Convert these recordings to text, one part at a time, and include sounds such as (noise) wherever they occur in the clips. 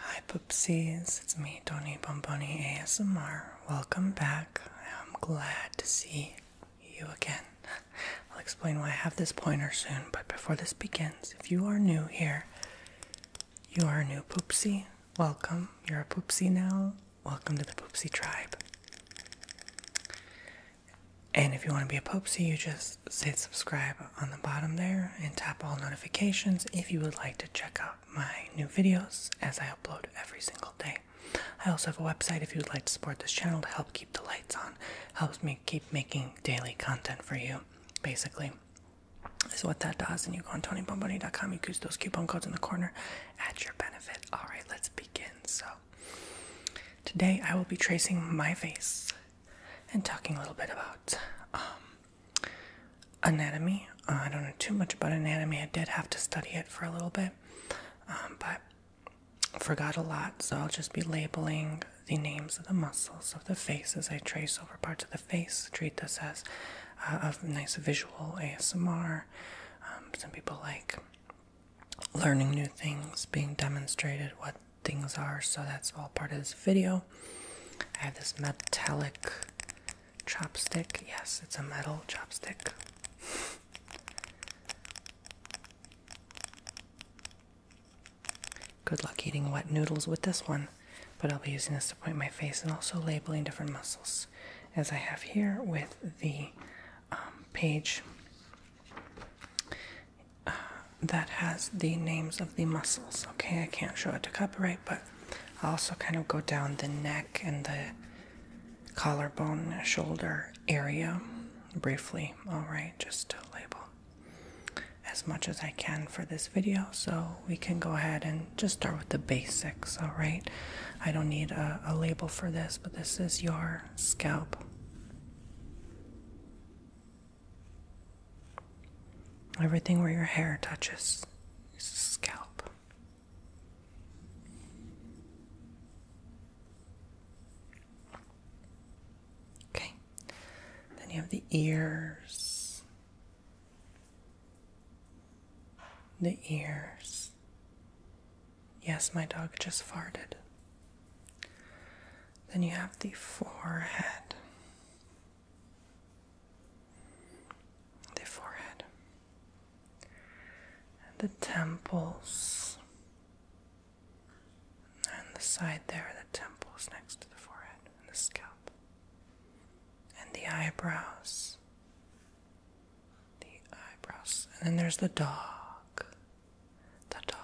Hi Poopsies, it's me, Tony Bomboni ASMR. Welcome back. I'm glad to see you again. (laughs) I'll explain why I have this pointer soon, but before this begins, if you are new here, you are a new poopsy. Welcome. You're a poopsy now. Welcome to the poopsy tribe. And if you want to be a poopsy, you just just say subscribe on the bottom there and tap all notifications if you would like to check out my new videos as I upload every single day. I also have a website if you would like to support this channel to help keep the lights on. Helps me keep making daily content for you, basically. Is what that does, and you go on TonyBomboni.com, you use those coupon codes in the corner at your benefit. Alright, let's begin. So, today I will be tracing my face and talking a little bit about um, anatomy. Uh, I don't know too much about anatomy. I did have to study it for a little bit, um, but forgot a lot. So I'll just be labeling the names of the muscles of the face as I trace over parts of the face. Treat this as a uh, nice visual ASMR. Um, some people like learning new things, being demonstrated what things are, so that's all part of this video. I have this metallic chopstick. Yes, it's a metal chopstick. Good luck eating wet noodles with this one, but I'll be using this to point my face and also labeling different muscles, as I have here with the um, page that has the names of the muscles. Okay, I can't show it to copyright, but i also kind of go down the neck and the collarbone, shoulder area briefly. All right, just to label as much as I can for this video, so we can go ahead and just start with the basics. All right, I don't need a label for this, but this is your scalp. Everything where your hair touches is scalp. Okay, then you have the ears, the ears. Yes, my dog just farted. Then you have the forehead the forehead, and the temples, and the side there, the temples next to the forehead, and the scalp, and the eyebrows. The eyebrows, and then there's the dog. The dog.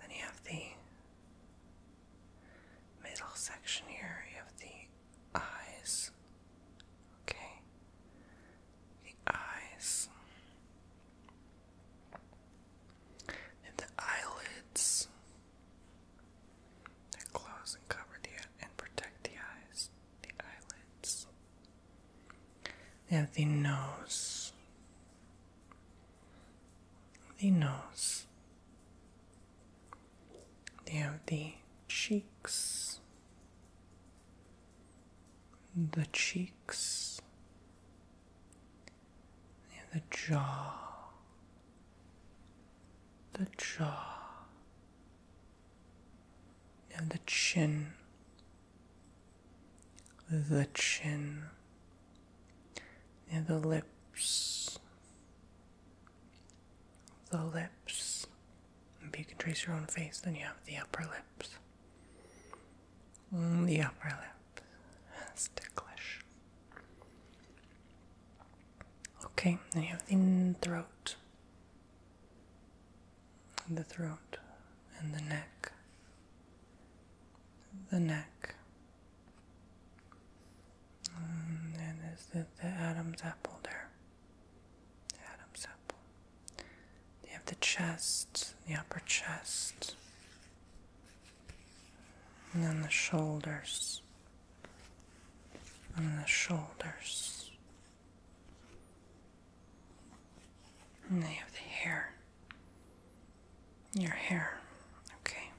Then you have the middle section here, you have the eyes. Okay. The eyes. And the eyelids. They're and cover the and protect the eyes. The eyelids. They have the nose the nose. They have the cheeks, the cheeks, they have the jaw, the jaw, they have the chin, the chin near the lips, the lips. If you can trace your own face, then you have the upper lips. Mm, the upper lip. That's ticklish. Okay, then you have the throat, the throat, and the neck, the neck, um, and there's the, the Adam's apple there. The Adam's apple. You have the chest, the upper chest, and then the shoulders, and the shoulders. And they have the hair. Your hair. Okay.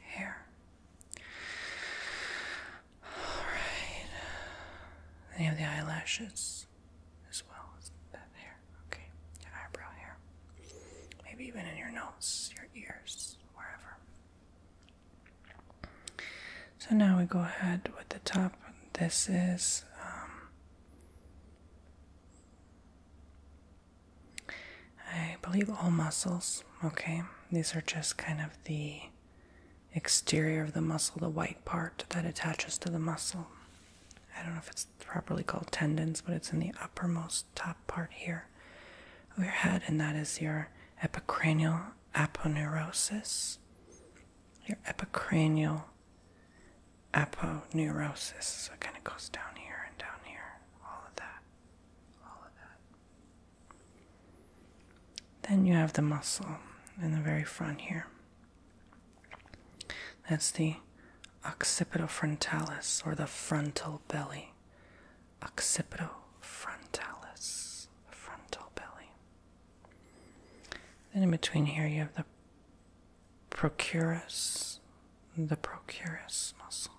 Hair. Alright. Then you have the eyelashes as well as that hair. Okay. Your eyebrow hair. Maybe even in your nose, your ears, wherever. So now we go ahead with the top. This is um, I believe all muscles, okay? These are just kind of the exterior of the muscle, the white part that attaches to the muscle. I don't know if it's properly called tendons, but it's in the uppermost top part here of your head, and that is your epicranial aponeurosis. Your epicranial aponeurosis. So it kind of goes down here and down here. All of that. All of that. Then you have the muscle in the very front here. That's the occipitofrontalis or the frontal belly. Occipitofrontalis, frontal belly. Then in between here you have the procurus, the procurus muscle.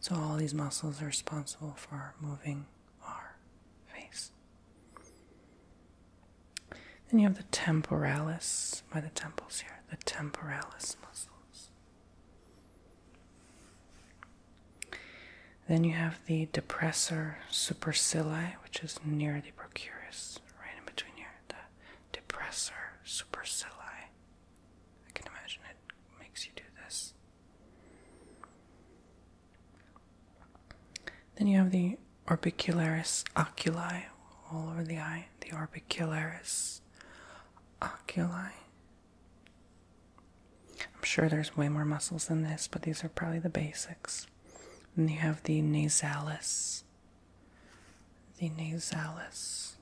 So, all these muscles are responsible for moving our face. Then you have the temporalis by the temples here, the temporalis muscles. Then you have the depressor supercilii, which is near the procurus, right in between here, depressor supercilii. I can imagine it makes you do this. Then you have the orbicularis oculi all over the eye, the orbicularis oculi. I'm sure there's way more muscles than this, but these are probably the basics. Then you have the nasalis the nasalis.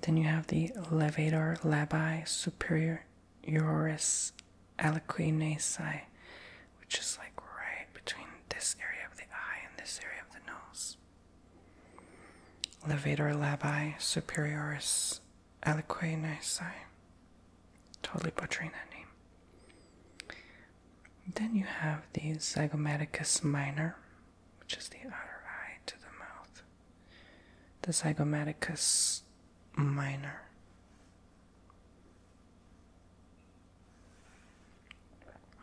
Then you have the levator labii superioris aliqui nasi, which is like right between this area of the eye and this area of the nose. Levator labii superioris aliqui nasi. Totally butchering that name. Then you have the zygomaticus minor, which is the outer eye to the mouth. The zygomaticus minor.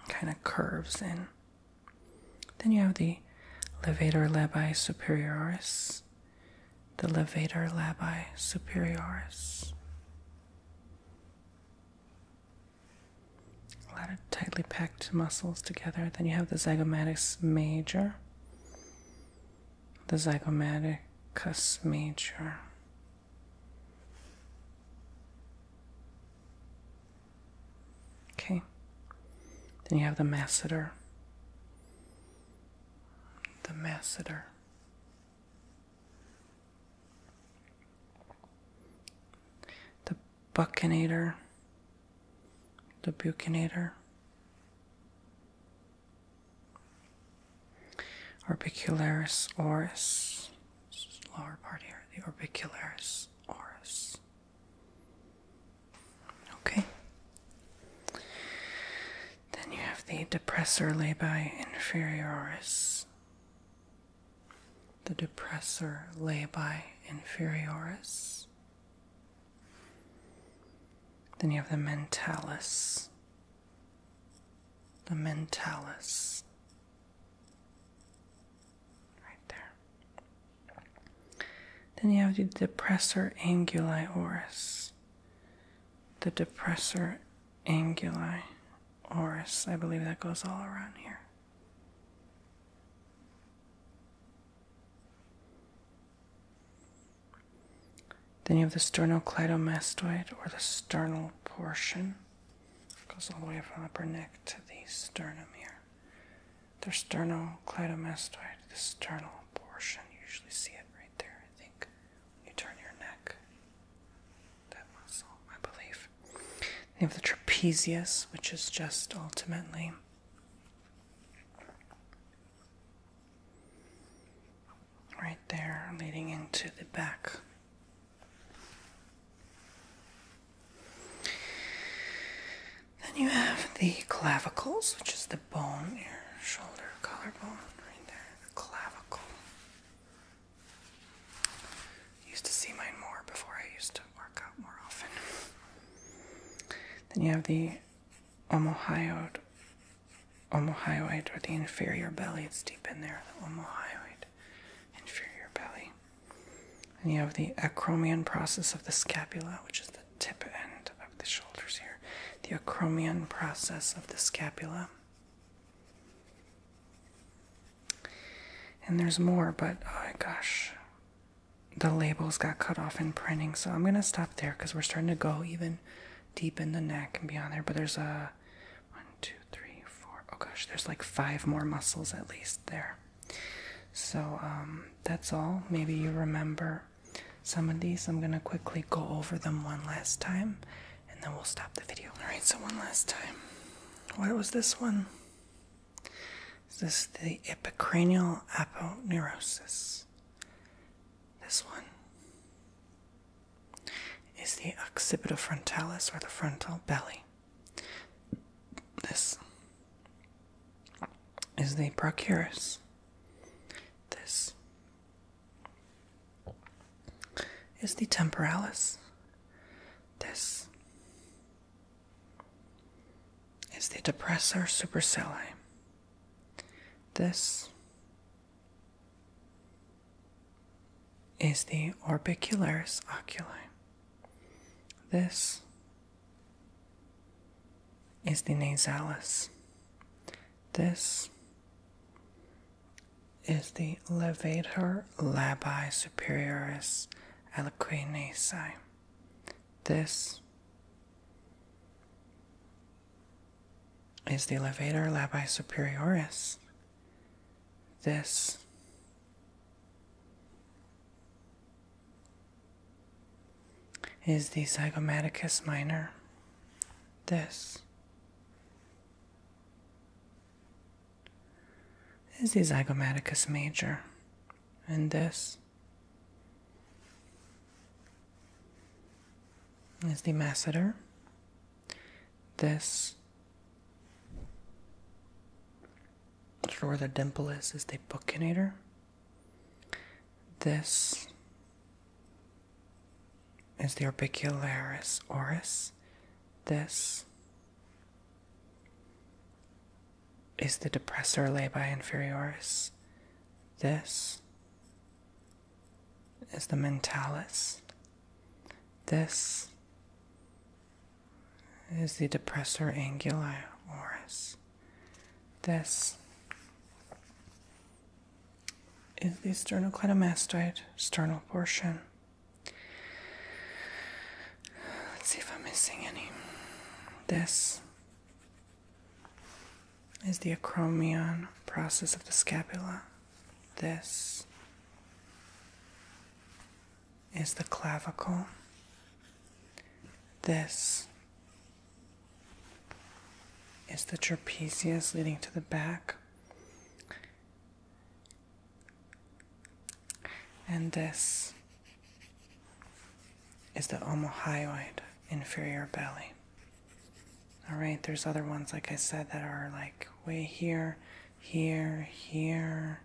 Kind of curves in. Then you have the levator labii superioris, the levator labii superioris, a lot of tightly packed muscles together. Then you have the zygomaticus major, the zygomaticus major. Okay. Then you have the masseter. The masseter. The Buccinator, the Buccinator, Orbicularis oris, lower part here, the Orbicularis oris. Okay. Then you have the depressor labii inferioris. The depressor labii inferioris. Then you have the mentalis. The mentalis. Right there. Then you have the depressor anguli oris. The depressor anguli oris. I believe that goes all around here. Then you have the sternocleidomastoid or the sternal portion. goes all the way from upper neck to the sternum here. The sternocleidomastoid, the sternal portion. You usually see it right there, I think. You turn your neck. That muscle, I believe. You have the trapezius, which is just ultimately right there, leading into the back. Then you have the clavicles, which is the bone, your shoulder, collarbone, right there, the clavicle. Used to see mine more before I used to work out more often. Then you have the omohyoid, omohyoid or the inferior belly. It's deep in there, the omohyoid, inferior belly. And you have the acromion process of the scapula, which is the tip end of the shoulders here. The acromion process of the scapula. And there's more, but oh gosh, the labels got cut off in printing. So I'm gonna stop there because we're starting to go even deep in the neck and beyond there. But there's a one, two, three, four. Oh gosh, there's like five more muscles at least there. So um, that's all. Maybe you remember some of these. I'm gonna quickly go over them one last time and then we'll stop the video. Alright, so one last time. What was this one? Is this the epicranial aponeurosis? This one is the occipitofrontalis or the frontal belly. This is the procurus. This is the temporalis. This is the depressor supercellae. This is the orbicularis oculi. This is the nasalis. This is the levator labii superioris aliquinesi. This is the levator labii superioris. This is the zygomaticus minor. This is the zygomaticus major, and this is the masseter. This is where the dimple is, is the buccinator. This is the orbicularis oris. This is the depressor labii inferioris. This is the mentalis. This is the depressor anguli oris. This is the sternocleidomastoid sternal portion. Let's see if I'm missing any. This is the acromion process of the scapula. This is the clavicle. This is the trapezius leading to the back. And this is the omohyoid inferior belly. All right, there's other ones, like I said, that are like way here, here, here,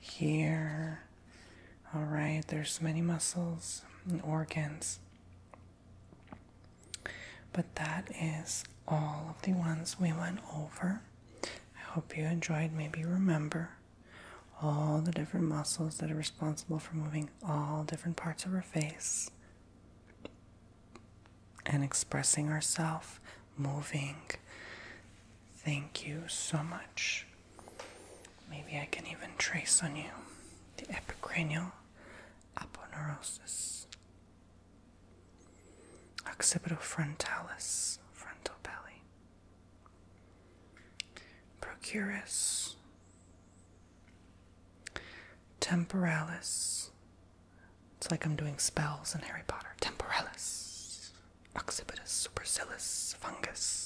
here. All right, there's many muscles and organs. But that is all of the ones we went over. I hope you enjoyed. Maybe remember all the different muscles that are responsible for moving all different parts of our face and expressing ourselves, moving. Thank you so much. Maybe I can even trace on you the epicranial aponeurosis. Occipital frontalis, frontal belly. Procurus. Temporalis. It's like I'm doing spells in Harry Potter. Temporalis. Occipitus supercilis fungus.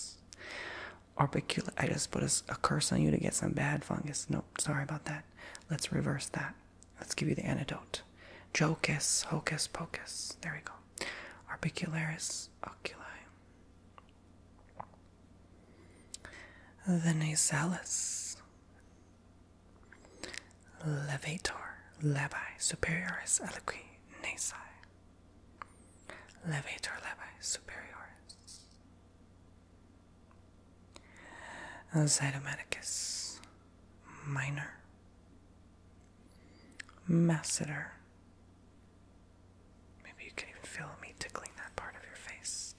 I just put a curse on you to get some bad fungus. Nope, sorry about that. Let's reverse that. Let's give you the antidote. Jocus, hocus pocus. There we go. orbicularis oculi. The nasalis. Levator, levi, superioris eloqui, nasi. Levator, levi, superioris. Zytomedicus Minor Masseter. Maybe you can even feel me tickling that part of your face.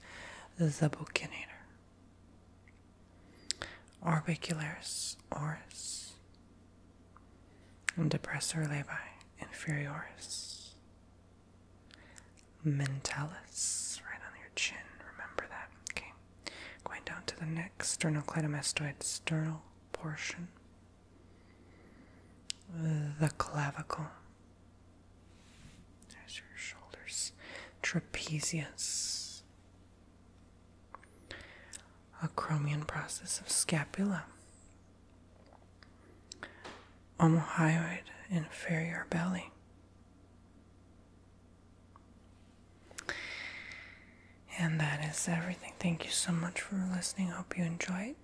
The Buccinator. Orbicularis oris. and Depressor labii inferioris. Mentalis, right on your chin, remember that, okay? Going down to the neck, sternocleidomastoid sternal portion, the clavicle. There's your shoulders, trapezius, acromion process of scapula, omohyoid inferior belly, and that is everything. Thank you so much for listening. Hope you enjoyed.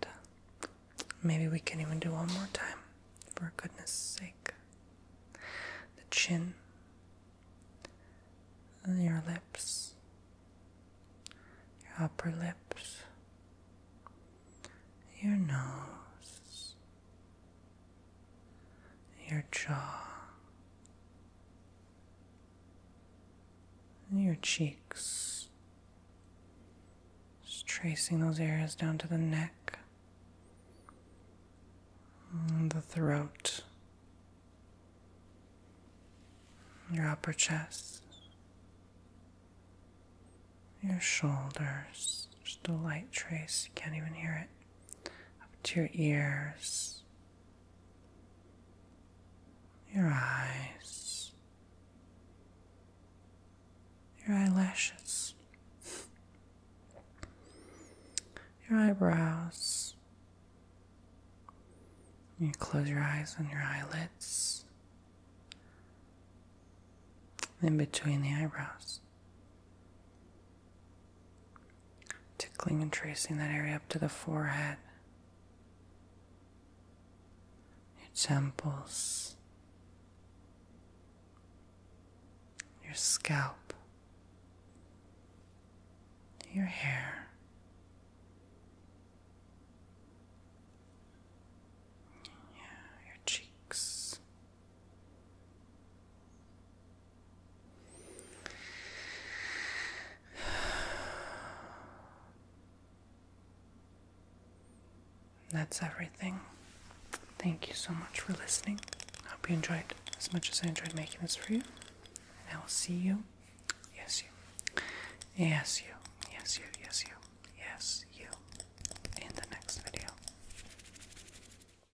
Maybe we can even do one more time, for goodness sake. The chin, your lips, your upper lips, your nose, your jaw, your cheeks. Just tracing those areas down to the neck, mm, the throat, your upper chest, your shoulders. Just a light trace, you can't even hear it up to your ears, your eyes, your eyelashes, your eyebrows. You close your eyes and your eyelids, in between the eyebrows. Tickling and tracing that area up to the forehead, your temples, your scalp, your hair. Yeah, your cheeks, that's everything. Thank you so much for listening. I hope you enjoyed as much as I enjoyed making this for you. And I will see you. Yes, you. Yes, you. Yes, you. Yes, you. Yes, you. In the next video.